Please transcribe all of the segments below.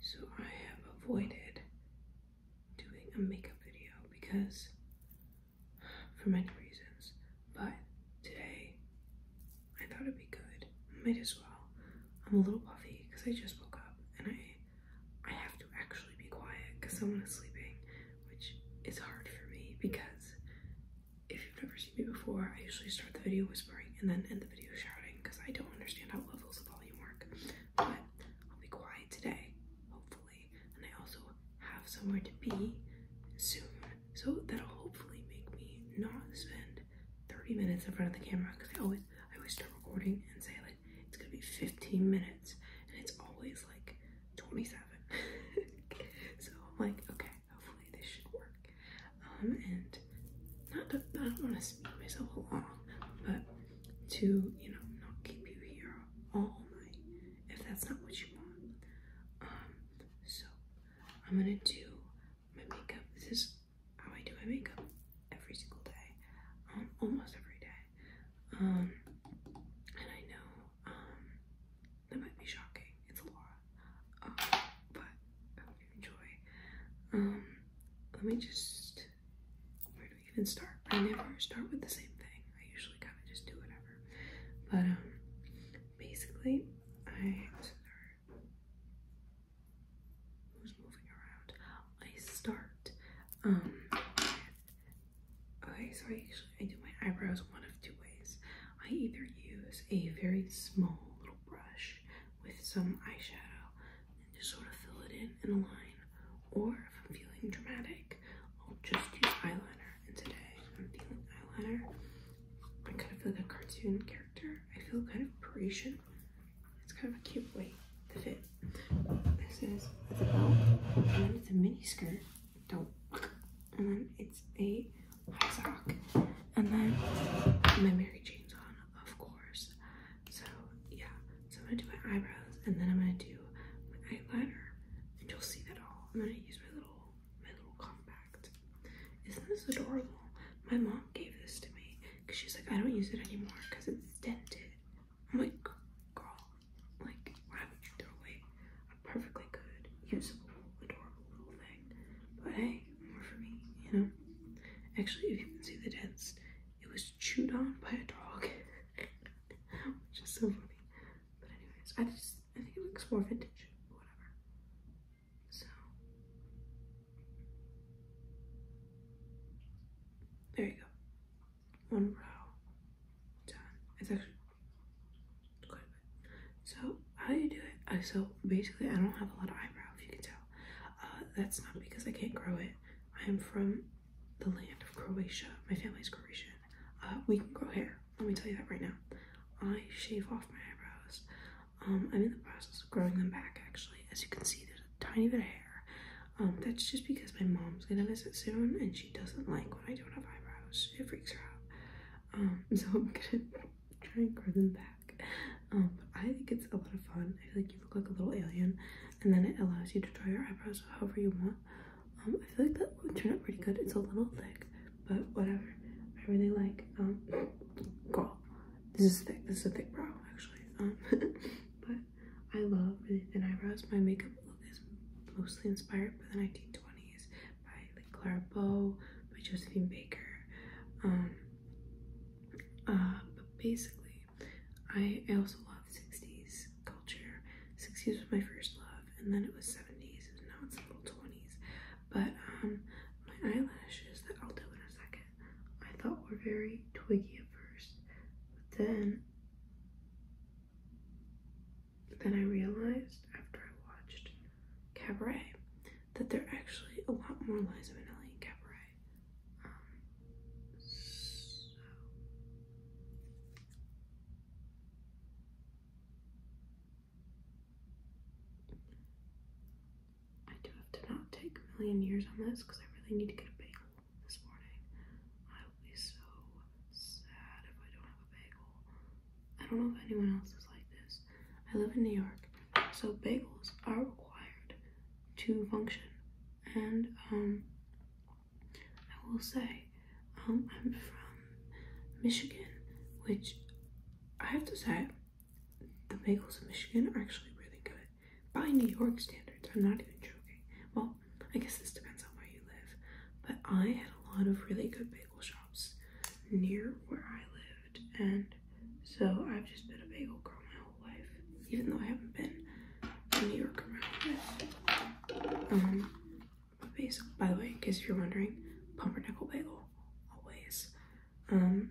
So I have avoided doing a makeup video because for many reasons, but today I thought it'd be good. Might as well. I'm a little puffy because I just woke up and I I have to actually be quiet because someone is sleeping, which is hard for me because if you've never seen me before, I usually start the video whispering and then end the video shouting because I don't understand how levels of volume work. But I'll be quiet today, hopefully. And I also have somewhere to be soon. So that'll hopefully make me not spend 30 minutes in front of the camera because I always I always start recording and say like it's gonna be 15 minutes and it's always like 27. so I'm like, okay, hopefully this should work. Um, and I don't want to speak myself along, but to you know not keep you here all night if that's not what you want. Um, so I'm gonna do my makeup. This is how I do my makeup every single day, um, almost every day. Um, and I know um, that might be shocking. It's a lot, uh, but I hope you enjoy. Um, let me just, where do we even start? I never start with the same thing. I usually kind of just do whatever. But um, basically, I start, who's moving around? I start, okay, so I actually I do my eyebrows one of two ways. I either use a very small little brush with some eyeshadow and just sort of fill it in in a line. Or if I'm feeling dramatic, I'll just use eyeliner. And today I'm feeling eyeliner. I kind of feel like a cartoon character. I feel kind of Parisian. It's kind of a cute way to fit. This is the belt, and it's a mini skirt. Don't. And then it's a sock. And then my Mary Jane's on, of course. So yeah, so I'm gonna do my eyebrows and then I'm gonna do my eyeliner and you'll see that all. I'm gonna use my little, my little compact. Isn't this adorable? My mom gave this to me because she's like, I don't use it anymore because it's dented. I'm like, girl, like why would you throw away a perfectly good, usable, adorable but hey, more for me, you know? Actually, if you can see the dent, it was chewed on by a dog, which is so funny. But anyways, I just, I think it looks more vintage, whatever. So. There you go. One row Done. It's actually quite a So how do you do it? Uh, so basically, I don't have a lot of eyebrows, if you can tell. Uh, that's not because I can't grow it. I am from the land of Croatia. My family's Croatian. Uh, we can grow hair. Let me tell you that right now. I shave off my eyebrows. Um, I'm in the process of growing them back, actually. As you can see, there's a tiny bit of hair. Um, that's just because my mom's gonna miss it soon, and she doesn't like when I don't have eyebrows. It freaks her out. Um, so I'm gonna try and grow them back. Um, but I think it's a lot of fun. I feel like you look like a little alien, and then it allows you to draw your eyebrows however you want. Um, I feel like that would turn out pretty good. It's a little thick, but whatever. I really like. Um, girl, this is thick. This is a thick brow actually. but I love thin eyebrows. My makeup look is mostly inspired by the 1920s by Clara Bow, by Josephine Baker. Um, uh, but basically, I, also love 60s culture. 60s was my first love, and then it was 70s, and now it's a little 20s. But um, my eyelashes that I'll do in a second, I thought were very twiggy at first, but then then I realized after I watched Cabaret, that they're actually a lot more Liza Minnelli in Cabaret. Um, I do have to not take a million years on this because I really need to get a bagel this morning. I will be so sad if I don't have a bagel. I don't know if anyone else is like this. I live in New York, so bagels are required to function. And um, I will say, um, I'm from Michigan, which I have to say, the bagels in Michigan are actually really good by New York standards. I'm not even joking. Well, I guess this depends on where you live, but I had a lot of really good bagel shops near where I live and so I've just been a bagel girl my whole life, even though I haven't been in New York my whole life. Um, but basically, by the way, in case you're wondering, pumpernickel bagel, always. Um,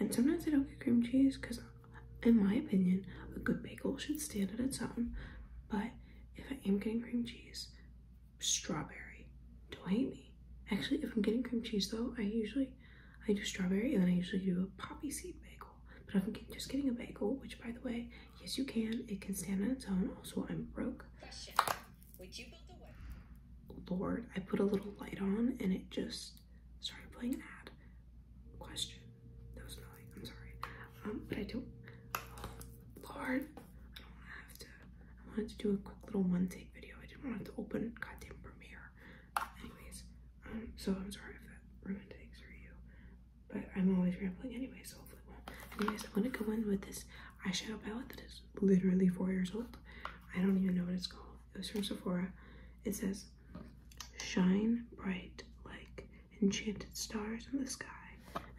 and sometimes I don't get cream cheese because, in my opinion, a good bagel should stand on its own. But if I am getting cream cheese, strawberry. Don't hate me. Actually, if I'm getting cream cheese though, I usually I do strawberry and then I usually do a poppy seed bagel. But if I'm just getting a bagel, which by the way, yes you can, it can stand on its own. Also, I'm broke. Lord, I put a little light on and it just started playing an ad. Question. That was annoying. I'm sorry. Um, but I don't. Lord, I don't have to. I wanted to do a quick little one take video. I didn't want to open goddamn Premiere. Anyways, um, so I'm sorry if that ruined things for you. But I'm always rambling anyways, so hopefully it won't. Anyways, I'm gonna go in with this eyeshadow palette that is literally four years old. I don't even know what it's called. It was from Sephora. It says, shine bright like enchanted stars in the sky.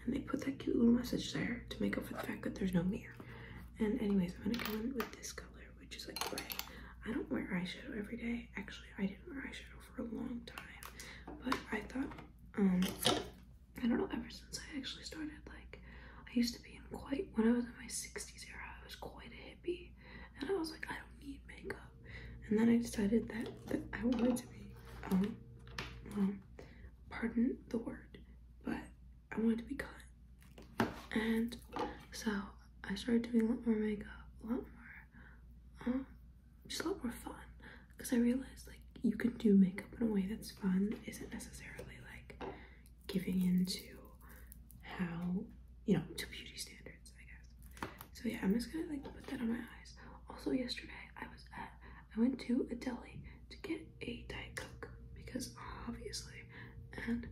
And they put that cute little message there to make up for the fact that there's no mirror. And anyways, I'm gonna go in with this color, which is like gray. I don't wear eyeshadow every day. Actually, I didn't wear eyeshadow for a long time, but I thought, um, I don't know, ever since I actually started, like, I used to be in quite, when I was in my 60s era, I was quite a hippie, and I was like, I don't need makeup. And then I decided that, that I wanted to be, um, um, pardon the word, but I wanted to be cut. And so I started doing a lot more makeup, a lot more, um, just a lot more fun. Because I realized like you can do makeup in a way that's fun, isn't necessarily like giving into how, you know, to beauty standards, I guess. So yeah, I'm just gonna like put that on my eyes. Also yesterday I was at I went to a deli to get a Diet Coke because obviously, and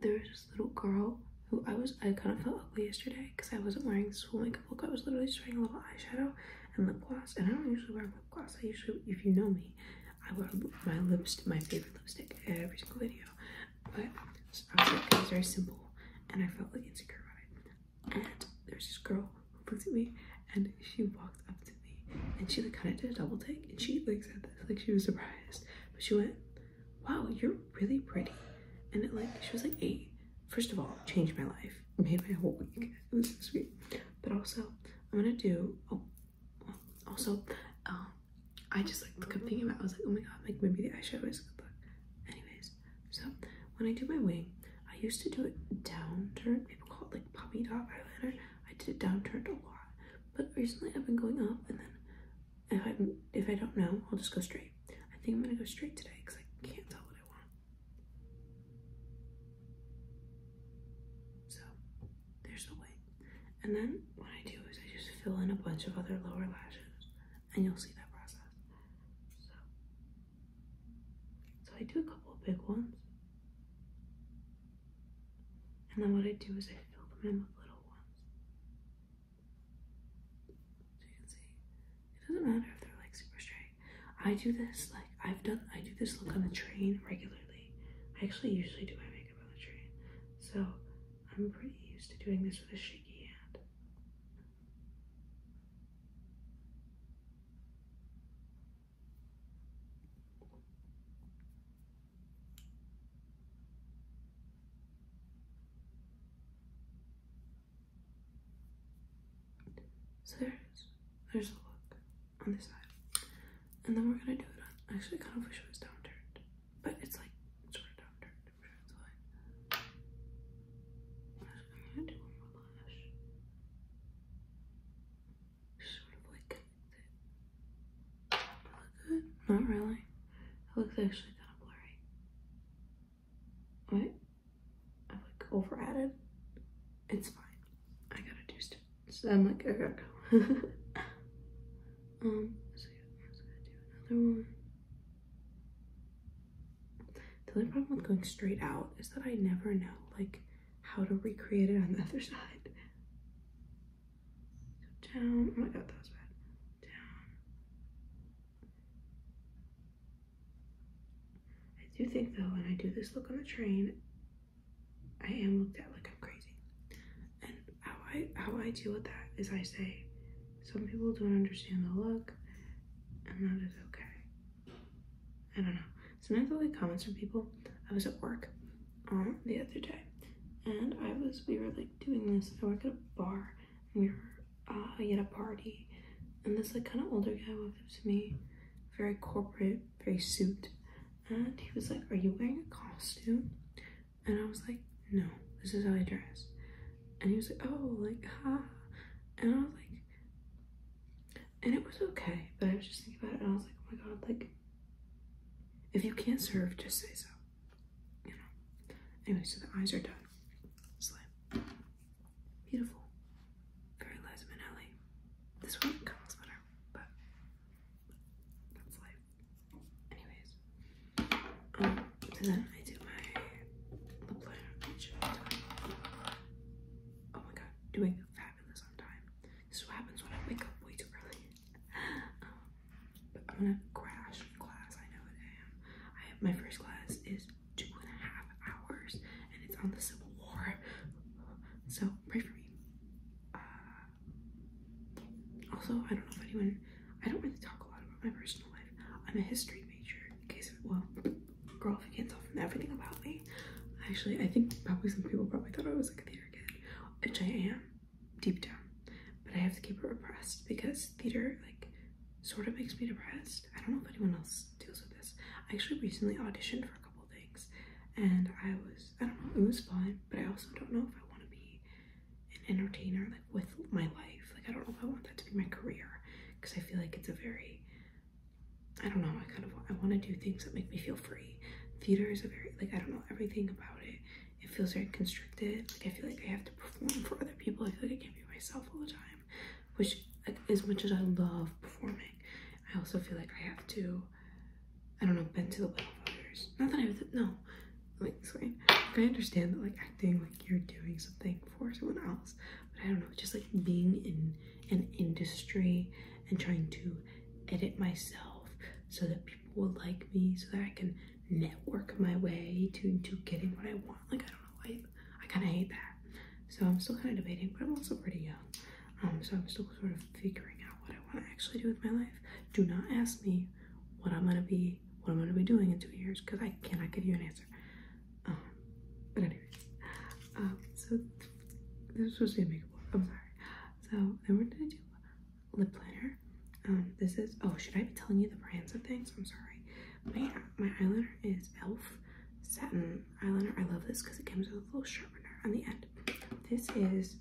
there was this little girl who I was, I kind of felt ugly yesterday because I wasn't wearing school makeup look. I was literally just wearing a little eyeshadow and lip gloss, and I don't usually wear lip gloss. I usually, if you know me, I wear my lips, my favorite lipstick every single video. But I was like, it was very simple, and I felt like insecure about it. And there's this girl Looks at me and she walked up to me and she like kind of did a double take and she like said this like she was surprised but she went wow you're really pretty and it, like she was like eight first of all changed my life made my whole week it was so sweet but also i'm gonna do oh also um i just like kept thinking about i was like oh my god like maybe the eyeshadow is good but anyways so when i do my wing i used to do it down people call it like puppy dog eyeliner I did a downturned a lot, but recently I've been going up, and then if I if I don't know, I'll just go straight. I think I'm gonna go straight today because I can't tell what I want. So there's the wing, and then what I do is I just fill in a bunch of other lower lashes, and you'll see that process. So so I do a couple of big ones, and then what I do is I fill them in with little ones. So you see, it doesn't matter if they're like super straight. I do this like I've done. I do this look on the train regularly. I actually usually do my makeup on the train, so I'm pretty used to doing this with a shaky hand. So there There's a look on this side. And then we're gonna do it on actually kind of wish it was downturned. But it's like sort of downturned. i I'm gonna do one more lash. Not really. It looks actually kind of blurry. Wait, I like over added. It's fine. I gotta do stuff. So I'm like, okay, go. um, so yeah, I'm just gonna do another one. The only problem with going straight out is that I never know, like, how to recreate it on the other side. down. Oh my god, that was bad. Down. I do think though, when I do this look on the train, I am looked at like I'm crazy. And how I how I deal with that is I say, some people don't understand the look, and that is okay. I don't know. Sometimes i get comments from people. I was at work um, the other day and I was, we were like doing this. I work at a bar and we were uh, at a party and this like kind of older guy walked up to me, very corporate, very suit. And he was like, are you wearing a costume? And I was like, no, this is how I dress. And he was like, oh, like, ha. And I was like, and it was okay. But I was just thinking about it, and I was like, oh my god, like, if you can't serve, just say so. You know. Anyway, so the eyes are done. Slim. Beautiful. Very Liza This one comes better, but that's life. Anyways, um, then I do my lip liner. Oh my god, doing fabulous on time. This is what happens when I wake up way too early. Um, but I'm gonna crash class. I know that I am. I have, my first class is two and a half hours, and it's on the Civil War. So pray for me. Uh, also, I don't know if anyone. I don't really talk a lot about my personal life. I'm a history major. In case of, well girl, if can't tell from everything about me, actually, I think probably some people probably thought I was a theater kid, which I am deep down, but I have to keep it repressed because theater, like, sort of makes me depressed. I don't know if anyone else deals with this. I actually recently auditioned for a couple things and I was, I don't know, it was fun, but I also don't know if I want to be an entertainer, like, with my life. Like, I don't know if I want that to be my career because I feel like it's a very I don't know. I kind of I want to do things that make me feel free. Theater is a very like I don't know everything about it. It feels very constricted. Like I feel like I have to perform for other people. I feel like I can't be myself all the time. Which, as much as I love performing, I also feel like I have to. I don't know. Bend to the will of others. Not that I have no. Like, explain. I understand that like acting, like you're doing something for someone else, I don't know, just like being in an industry and trying to edit myself so that people will like me, so that I can network my way to, to getting what I want. Like, I don't know, I, I kind of hate that. So I'm still kind of debating, but I'm also pretty young. Um, so I'm still sort of figuring out what I want to actually do with my life. Do not ask me what I'm gonna be, what I'm gonna be doing in two years, because I cannot give you an answer. Um, but anyway, um, so this was gonna make i I'm sorry. So then we're gonna do lip liner. Um, this is oh, should I be telling you the brands of things? I'm sorry. My my eyeliner is Elf satin eyeliner. I love this because it comes with a little sharpener on the end. This is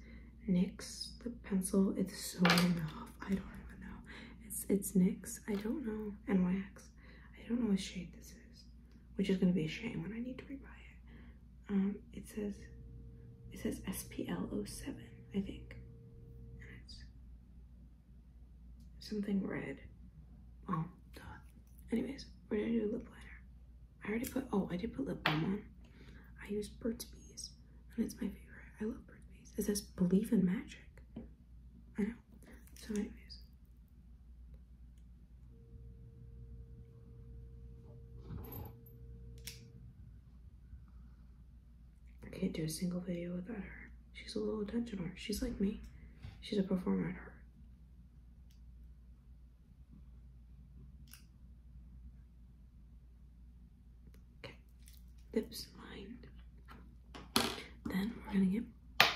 NYX lip pencil. It's so long. I don't even know. It's it's NYX. I don't know. N don't know what shade this is which is going to be a shame when I need to rebuy it. Um, it says, it says SPL07, I think. something red. Oh, duh. Anyways, where did I do lip liner? I already put, oh, I did put lip balm on. I use Burt's Bees, and it's my favorite. I love Burt's Bees. It says, believe in magic. So anyways. I can't do a single video without her. She's a little attention whore. She's like me. She's a performer at heart. Okay, lips lined. Then we're gonna get I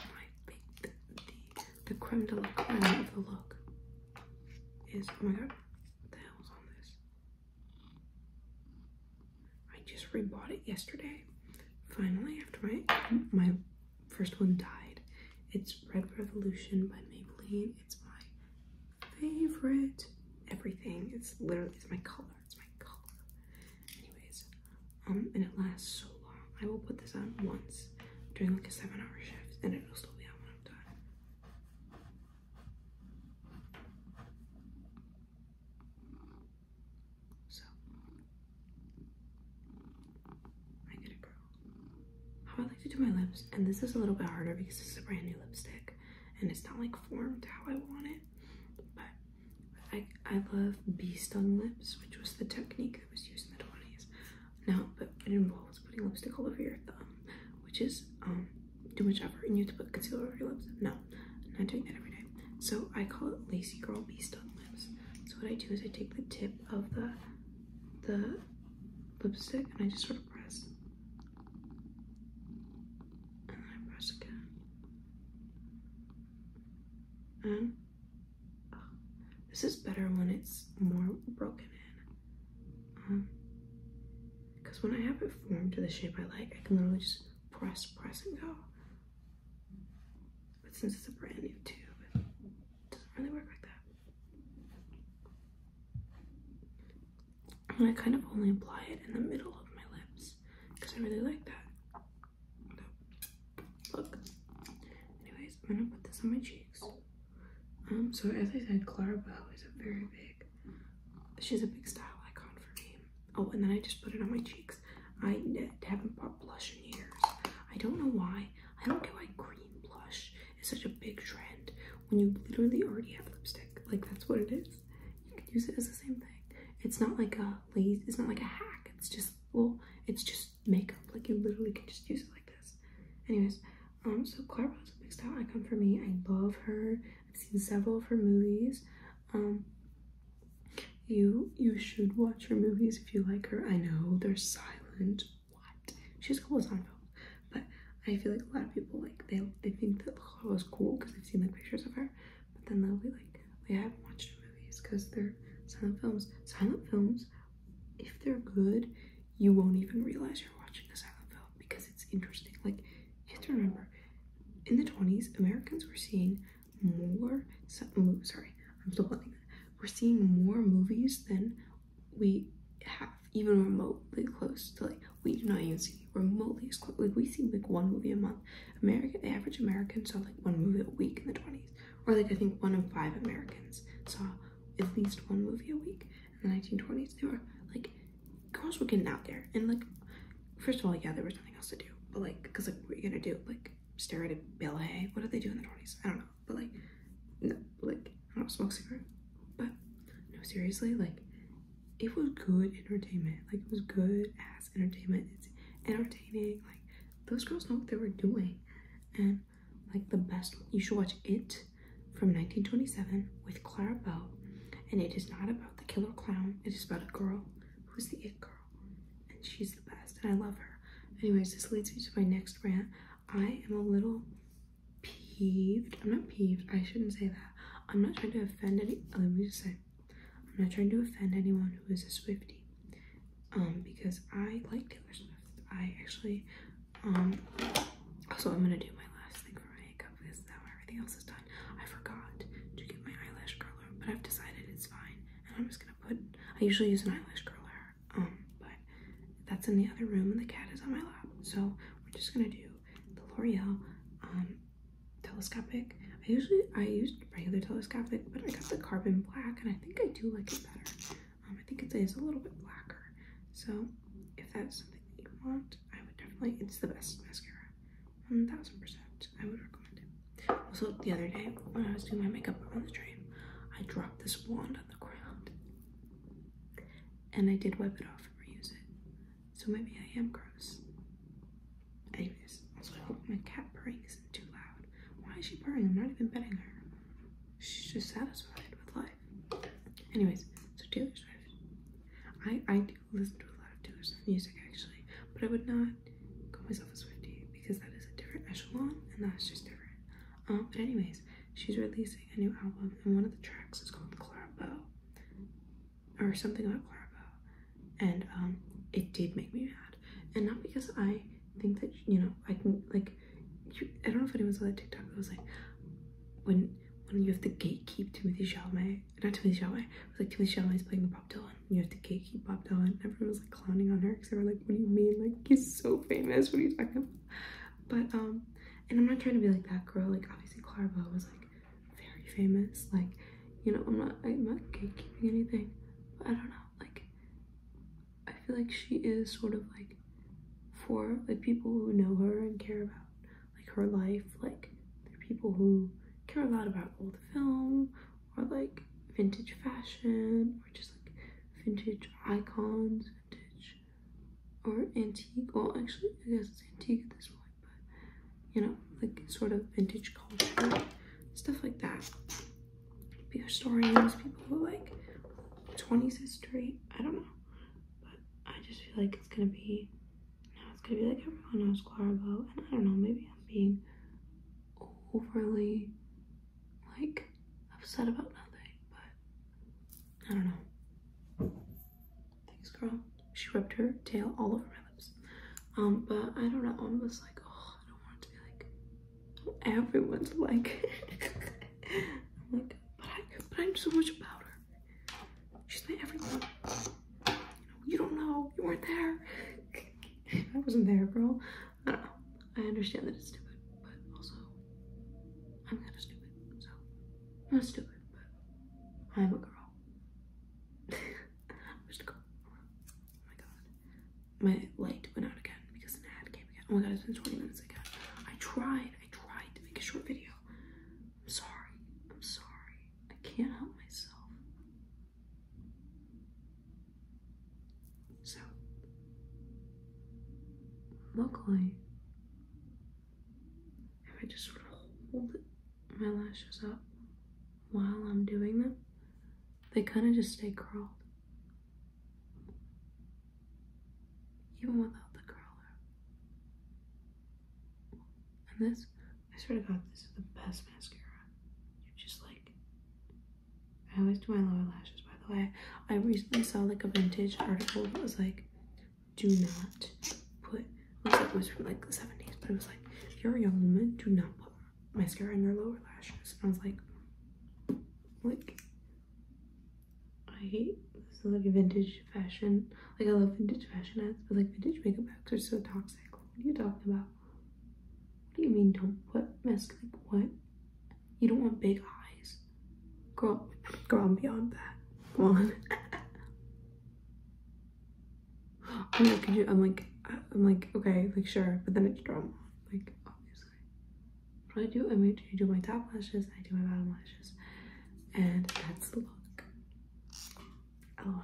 think the, the, creme de la creme of the look is, oh my god, what the hell is on this? I just rebought it yesterday. Finally, after my, my first one died. It's Red Revolution by Maybelline. It's my favorite everything. It's literally, it's my color. It's my color. Anyways, um, and it lasts so long. I will put this on once during like a seven hour shift and it'll still be on when I'm done. So, I get it, girl. How I like to do my lips, and this is a little bit harder because this is a brand new lipstick and it's not like formed how I want it, but I, I love beast on lips, which was the technique that was used in the 20s. No, but it involves putting lipstick all over your thumb, which is um too much effort, and you have to put concealer over your lips. No, I'm not doing that every day. So I call it lazy girl beast on lips. So what I do is I take the tip of the the lipstick and I just sort of press. And I press again. And this is better when it's more broken in. Because um, when I have it formed to the shape I like, I can literally just press, press, and go. But since it's a brand new tube, it doesn't really work like that. I kind of only apply it in the middle of my lips because I really like that. Look. Anyways, I'm gonna put this on my cheeks. Um, so as I said, Clara is a very big, she's a big style icon for me. Oh, and then I just put it on my cheeks. I haven't bought blush in years. I don't know why. I don't get why green blush is such a big trend when you literally already have lipstick. Like that's what it is. You can use it as the same thing. It's not like a lace it's not like a hack. It's just well, it's just makeup. Like you literally can just use it like this. Anyways, um, so Clara is a big style icon for me. I love her. I've seen several of her movies. Um, you you should watch her movies if you like her. I know they're silent. What? She's cool as on film. But I feel like a lot of people like they they think that Clara was cool because they've seen like pictures of her. But then they'll be like, we haven't watched movies because they're silent films. Silent films, if they're good, you won't even realize you're watching a silent film because it's interesting. Like, you have to remember, in the 20s, Americans were seeing more, so, sorry, I'm still blending We're seeing more movies than we have, even remotely close to like, we do not even see remotely as close. Like, we see like one movie a month American, the average American saw like one movie a week in the 20s, or like I think one of five Americans saw at least one movie a week in the 1920s. They were like girls were getting out there, and like first of all, yeah, there was nothing else to do, but like because like what are you gonna do? Like stare at a Bill ballet? What did they do in the 20s? I don't know, but like no, like I don't smoke cigarette, but no, seriously, like it was good entertainment. Like it was good. Acting entertainment. It's entertaining. Like those girls know what they were doing, and like the best. You should watch it from 1927 with Clara Bow, and it is not about the killer clown. It is about a girl who's the it girl, and she's the best, and I love her. Anyways, this leads me to my next rant. I am a little peeved. I'm not peeved. I shouldn't say that. I'm not trying to offend any. Let me just say, I'm not trying to offend anyone who is a Swifty, um, because I like Taylor Swift. I actually, um, also I'm gonna do my last thing for my makeup because now everything else is done. I forgot to get my eyelash curler, but I've decided it's fine, and I'm just gonna put. I usually use an eyelash curler, um, but that's in the other room, and the cat is on my lap, so we're just gonna do the L'Oreal, telescopic. I usually I use regular telescopic, but I got the carbon black, and I think I do like it better. Um, I think it is a little bit blacker. So if that's something that you want, I would definitely. It's the best mascara, one thousand percent. I would recommend it. Also, the other day when I was doing my makeup on the train, I dropped this wand on the ground, and I did wipe it off and reuse it. So maybe I am gross. Anyways, also I hope my cat purring isn't too loud. Why is she purring? I'm not even petting her. She's just satisfied with life. Anyways, so Taylor Swift. I, I do listen to a lot of Taylor Swift music actually, but I would not call myself a Swifty because that is a different echelon and that's just different. Um, but anyways, she's releasing a new album and one of the tracks is called "Clara Clarabelle or something about Clarabelle, and um, it did make me mad. And not because I think that you know I can like you, I don't know if anyone saw that TikTok. It was like when when you have the gatekeep Timothy Chalamet, not Timothy Chalamet, it was like Timothy Chalamet is playing Bob Dylan. You have to gatekeep Bob Dylan. Everyone was like clowning on her because they were like, "What do you mean? Like he's so famous. What are you talking about?" But um, and I'm not trying to be like that girl. Like obviously Clarabelle was like very famous. Like, you know, I'm not I'm not gatekeeping anything, I don't know. Like, I feel like she is sort of like for like people who know her and care about like her life. Like, people who care a lot about old film or like vintage fashion or just like vintage icons, vintage or antique. Well, actually, I guess it's antique at this point you know, like sort of vintage culture, stuff like that. Be historians, people who like 20s history, I don't know. But I just feel like it's gonna be now it's gonna be like everyone knows Clarabelle, and I don't know, maybe I'm being overly like upset about nothing, but I don't know. Thanks, girl. She rubbed her tail all over my lips. Um, but I don't know. I'm just like, oh, I don't want it to be like everyone's like. I'm like, but I, but I'm so much about her. She's my everything. You, don't know. You weren't there. I wasn't there, girl. I don't know. I understand that it's stupid, but also I'm kind of stupid, so I'm not stupid, but I'm a girl. Where's it go? Oh my god. My light went out again because an ad came again. Oh my god, it's been 20 minutes again. I tried. I tried to make a short video. I'm sorry. I'm sorry. I can't help myself. So, luckily, if I just hold it my lashes up while I'm doing them, they kind of just stay curled. Even without the curler. And this, I swear to God, this is the best mascara. You just like, I always do my lower lashes, by the way. I recently saw like a vintage article that was like, do not put looks it was from like the 70s, but it was like, if you're a young woman, do not put mascara on your lower lashes. I was like, like I hate this like vintage fashion. Like I love vintage fashion ads, but like vintage makeup ads are so toxic. what are you talking about? What do you mean don't put mascara? what? You don't want big eyes. Go, girl, i beyond that. Come on. I'm like, I'm like, okay, like sure, but then it's drama, like obviously. What do I do? I make I do my top lashes, I do my bottom lashes, and that's the look. Oh,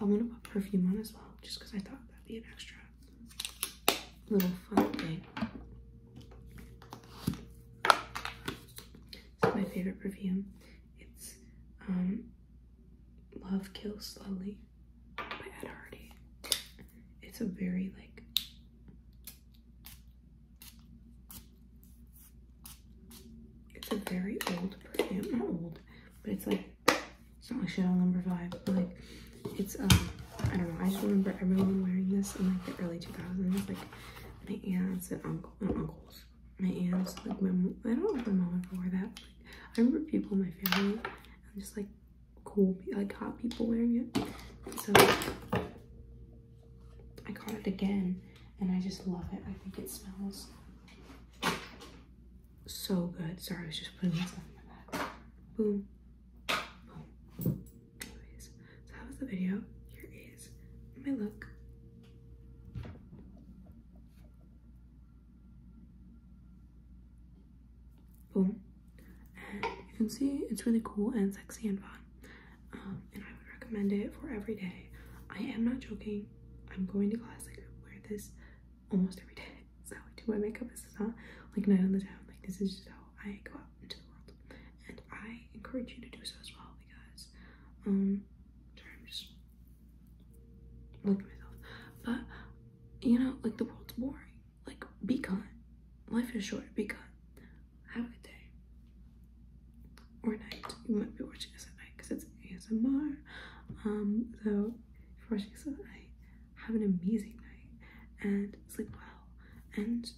I want to put perfume on as well, just because I thought that'd be an extra little fun thing. It's my favorite perfume. It's um, Love Kills Slowly by Ed Hardy. It's a very like it's a very old perfume. Not old, but it's like it's not like Chanel number five. But, like it's um I don't know. I just remember everyone wearing this in like the early 2000s, like my aunts and uncle and uncles my aunts, like my mom, I don't know if my mom wore that. I remember people in my family and just like cool, like hot people wearing it. So I got it again and I just love it. I think it smells so good. Sorry, I was just putting myself in my bag. Boom. Boom. Anyways, so that was the video. Here is my look. Boom. you can see it's really cool and sexy and fun. Um, and I would recommend it for every day. I am not joking. I'm going to class. Like, I wear this almost every day. So I do my makeup. This is not like night on the town. Like this is just how I go out into the world. And I encourage you to do so as well guys. Um, sorry, i just looking at myself. But you know, like the world's boring. Like be kind. Life is short. Be kind. Have a good day or night. You might be watching this at night because it's ASMR. Um, so if you're watching this at night, have an amazing night and sleep well and.